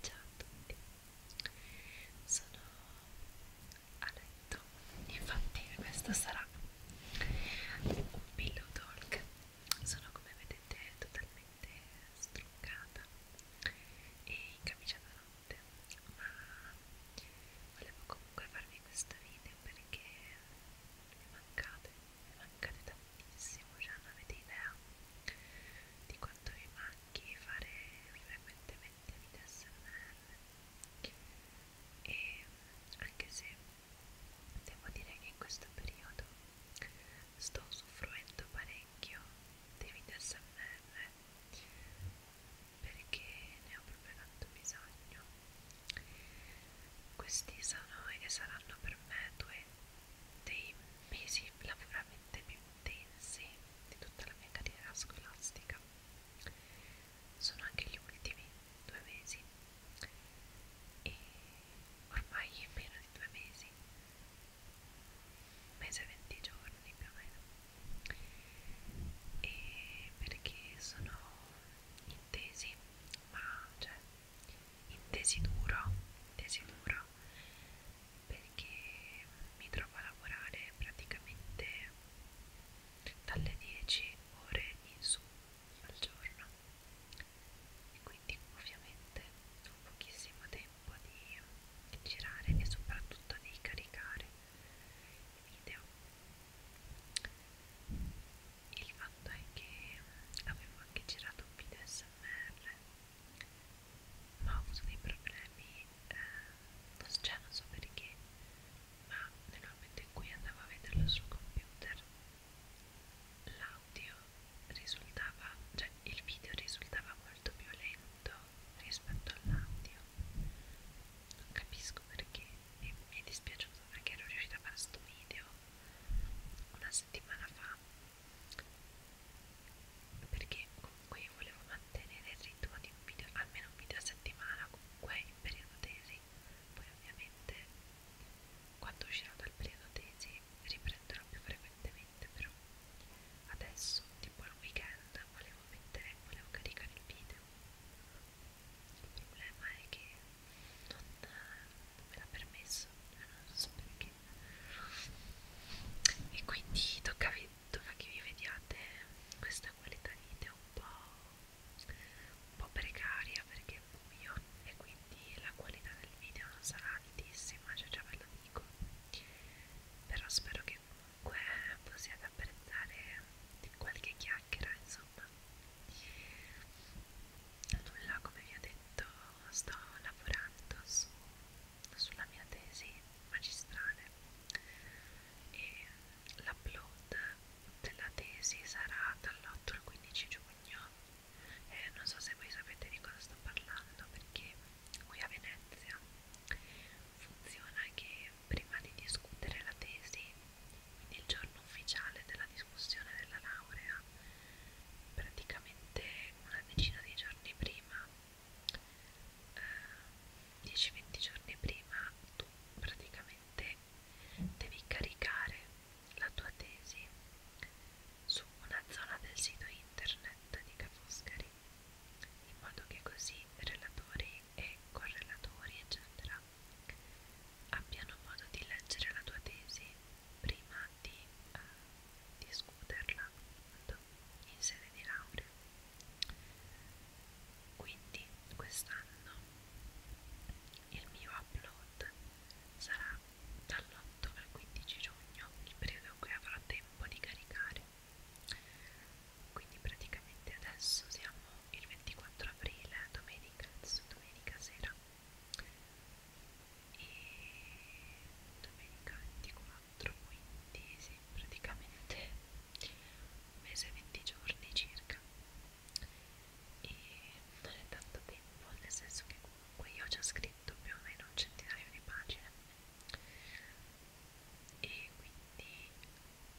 Ciao a tutti, sono a letto, infatti questo sarà un pillow talk, sono come vedete totalmente struccata e in camicia da notte, ma volevo comunque farvi questo video perché mi mancate, mi mancate tantissimo benissimo, già non avete idea di quanto vi manchi fare frequentemente video SMR e anche se devo dire che in questo periodo sto usufruendo parecchio dei video SMR perché ne ho proprio tanto bisogno questi sono e saranno per me due dei mesi lavorativamente più intensi di tutta la mia carriera scolastica. Sono anche gli ultimi due mesi e ormai è meno di due mesi, un mese e venti giorni più o meno, e perché sono intesi ma cioè in desiduro, desiduro perché mi trovo a lavorare praticamente dalle 10 ore in su al giorno e quindi ovviamente ho pochissimo tempo di, di girare e soprattutto di caricare i video il fatto è che avevo anche girato un video smr ma ho avuto dei problemi eh, non, cioè non so perché ma nel momento in cui andavo a vederlo sul computer l'audio risultava cioè il video risultava molto più lento rispetto all'audio non capisco perché mi, mi è dispiaciuto perché ero riuscita a fare questo video una settimana fa perché comunque io volevo mantenere il ritmo di un video, almeno un video a settimana comunque in periodo tesi poi ovviamente quando uscirò dal periodo tesi riprenderò più frequentemente però adesso tipo il weekend volevo mettere, volevo caricare il video il problema è che non me l'ha permesso, non so perché e quindi tocca, vi, tocca che vi vediate questa qualità di vita un po', un po' precaria perché è buio e quindi la qualità del video non sarà altissima, cioè già ve lo dico però spero che comunque possiate apprezzare qualche chiacchiera insomma mamma nulla come vi ho detto sto lavorando su, sulla mia tesi magistrale e l'upload della tesi sarà dall'8 al 15 giugno e eh, non so se voi sapete di cosa sto parlando perché qui a Venezia funziona che prima di discutere la tesi il giorno ufficiale della discussione della laurea, praticamente una decina di giorni prima, eh, 10-20 giorni prima, tu praticamente devi caricare la tua tesi su una zona del sito internet di Cafoscari in modo che così i relatori e correlatori, eccetera, abbiano modo di leggere la tua tesi prima di eh, discuterla appunto, in sede di laurea. Quindi quest'anno il mio upload sarà dall'8 al 15 giugno, il periodo in cui avrò tempo di caricare. Quindi praticamente adesso siamo il 24 aprile, domenica, domenica sera e domenica 24 quindi sì, praticamente un mese e 20 giorni circa e non è tanto tempo nel senso che comunque io ho già scritto più o meno un centinaio di pagine e quindi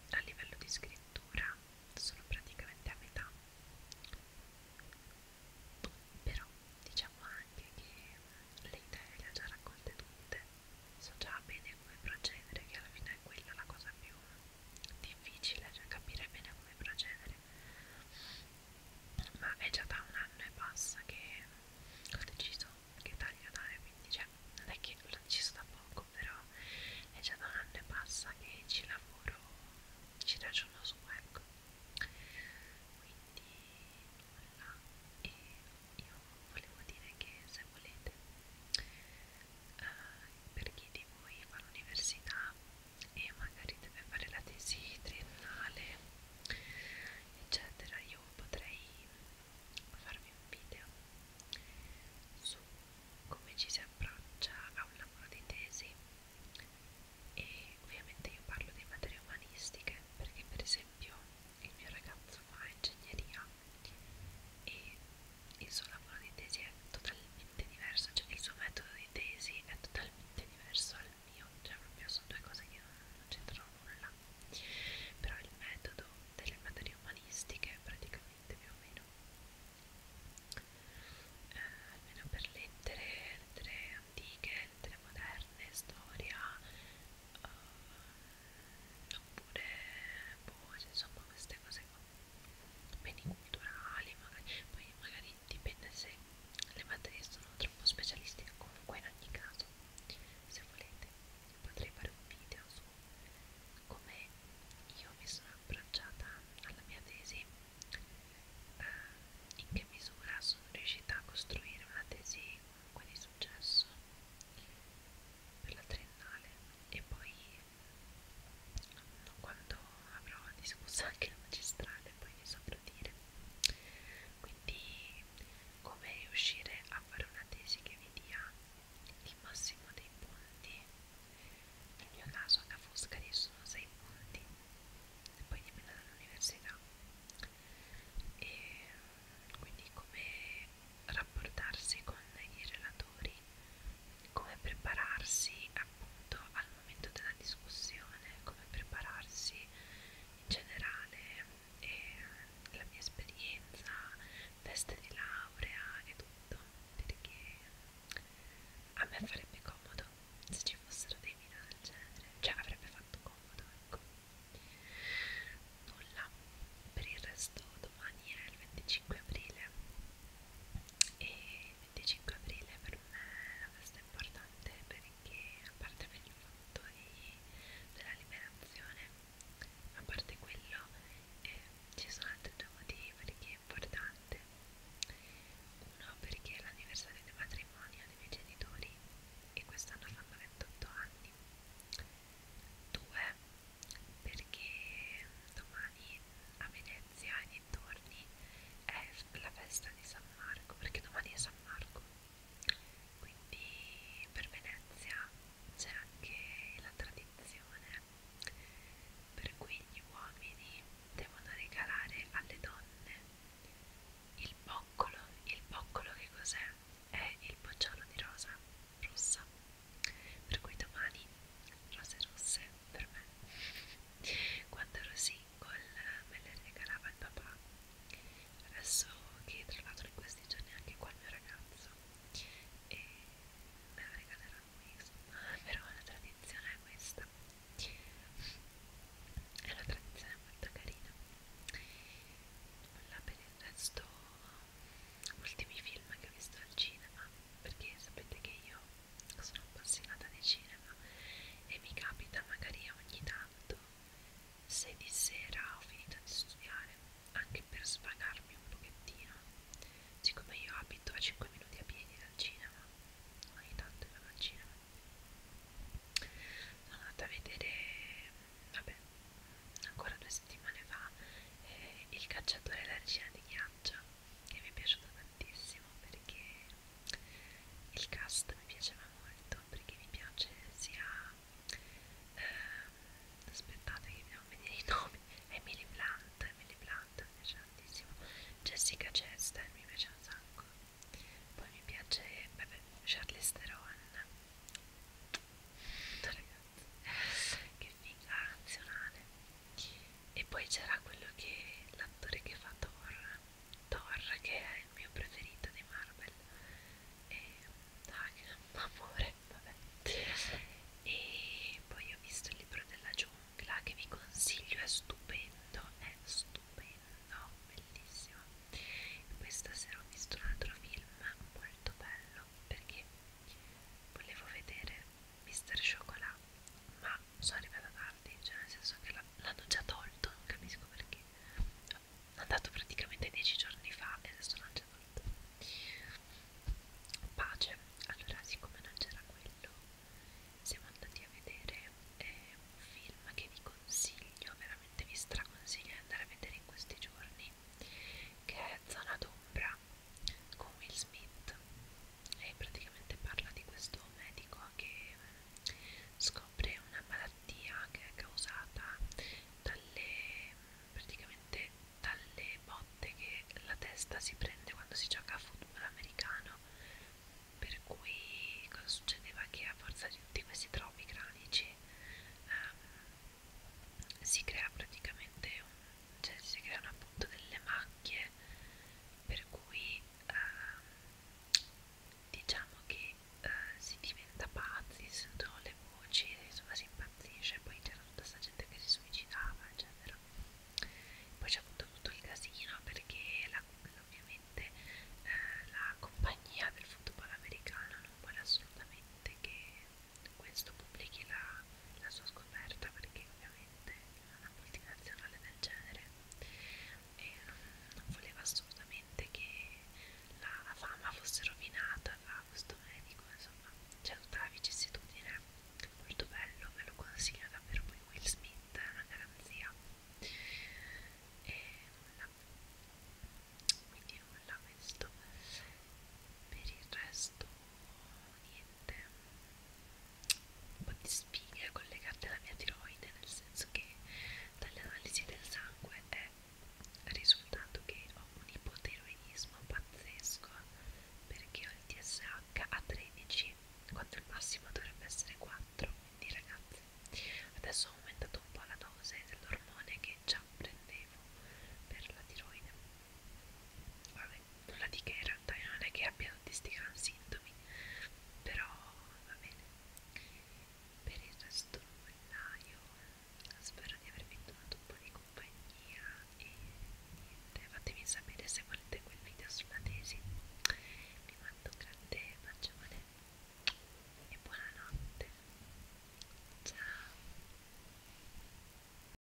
a livello di scrittura sono praticamente a metà però diciamo anche che le idee le ho già raccolte tutte so già bene come procedere che alla fine è quella la cosa più difficile cioè capire bene come procedere ma è già da un anno e passa che ho deciso che taglio dare quindi cioè non è che ci sta poco, però è già da un anno e passa che ci lavoro, ci ragiono su, ecco. Quindi nulla, e io volevo dire che se volete, uh, per chi di voi fa l'università e magari deve fare la tesi triennale, eccetera, io potrei farvi un video su come ci si approccia a un lavoro di tesi e ovviamente io parlo di materie umanistiche perché per esempio il mio ragazzo fa ingegneria e il suo lavoro di tesi è totalmente diverso, cioè il suo metodo di tesi è totalmente diverso al mio, cioè proprio sono due cose che non, non c'entrano nulla però il metodo delle materie umanistiche praticamente più o meno eh, almeno per lettere, lettere antiche, lettere moderne, storia eh, oppure boh, insomma queste cose qua beni culturali magari poi magari dipende se le materie sono troppo specialistiche comunque in ogni caso se volete potrei fare un video su come io mi sono approcciata alla mia tesi, eh, in che misura sono riuscita a costruire una tesi comunque di successo per la triennale e poi quando avrò discusso anche la magistrale poi vi saprò dire quindi come riuscire a fare una tesi che vi dia il massimo dei punti nel mio caso alla Foscari sono 6 punti e poi dipende dall'università e quindi come rapportarsi con i relatori come prepararsi appunto al momento della discussione come prepararsi in generale e la mia esperienza, teste di laurea e tutto, perché a me farebbe comodo se ci fossero dei video del genere, cioè avrebbe fatto comodo, ecco. Nulla, per il resto domani è il 25 aprile e il 25 aprile per me è una festa importante perché, a parte per il fatto momento di, della liberazione a parte quello eh, ci sono altri due motivi perché è importante uno perché è l'anniversario del matrimonio dei miei genitori e quest'anno fanno 28 anni due perché domani a Venezia e dintorni è la festa di San Marco perché domani è San Marco quindi per Venezia c'è anche la tradizione per cui gli uomini devono regalare alle donne il boccolo il boccolo che cos'è? è il bocciolo di rosa rossa per cui domani rose rosse per me quando ero single col, me le regalava il papà adesso che tra l'altro in questi giorni è anche qua il mio ragazzo e me la regalerà lui insomma però la tradizione è questa è una tradizione molto carina nulla per il resto ultimi film che ho visto al cinema perché sapete che io sono appassionata di cinema e mi capita magari ogni tanto se di sera ho finito di studiare, anche per svagarmi un pochettino, siccome io abito a 5 minuti a piedi dal cinema, ogni tanto vado al cinema, sono andata a vedere, vabbè, ancora due settimane fa, eh, Il cacciatore e la regina di ghiaccio, che mi è piaciuto tantissimo perché il cast mi piaceva molto perché mi piace sia ehm, aspettate che mi devo vedere i nomi Emily Blunt, Emily Blunt mi piace tantissimo Jessica Chester mi piace un sacco poi mi piace vabbè, Charlize Theron ragazzi che figa nazionale e poi c'era quello che l'attore che fa Thor Thor che è il mio preferito di Marvel e dai, amore, vabbè e poi ho visto il libro della giungla che vi consiglio, è stupendo, è stupendo, bellissimo e poi stasera ho visto un altro film molto bello perché volevo vedere Mister Chocolat ma sono arrivata tardi, cioè nel senso che l'hanno già tolto, non capisco perché. È andato praticamente dieci giorni fa e adesso l'hanno già tolto. Pace, allora siccome non c'era quello, siamo andati a vedere eh, un film che vi consiglio, veramente vi straconsiglio di andare a vedere in questi giorni, che è Zona d'ombra con Will Smith e praticamente parla di questo medico che eh, scopre una malattia che è causata dalle praticamente dalle botte che la testa si prende quando si gioca a football americano per cui cosa succedeva che a forza di tutti questi traumi cranici ehm, si crea praticamente un, cioè si creano appunto delle macchie per cui eh, diciamo che eh, si diventa pazzi, si sentono le voci, insomma si impazzisce, poi c'era tutta questa gente che si suicidava, eccetera. Poi c'è appunto tutto il casino perché la, ovviamente eh, la compagnia del football americano non vuole assolutamente che questo pubblichi la la sua scoperta perché ovviamente una multinazionale del genere e non, non voleva assolutamente che la, la fama fosse rovinata da questo medico insomma c'è tutta la vicissitudine molto bello ve lo consiglio davvero poi Will Smith è una garanzia e nulla quindi nulla questo per il resto niente un po' di sfiga collegate alla mia tiroide, nel senso che dalle analisi del sangue è risultato che ho un ipotiroidismo pazzesco perché ho il TSH a 13 quando il massimo dovrebbe essere 4 quindi ragazzi adesso ho aumentato un po' la dose dell'ormone che già prendevo per la tiroide vabbè, nulla di che in realtà io non è che abbia tutti sti gran sintomi però va bene per il resto nulla io spero di avervi dato un po' di compagnia e niente fatemi sapere se volete quel video sulla tesi vi mando un grande bacione e buonanotte ciao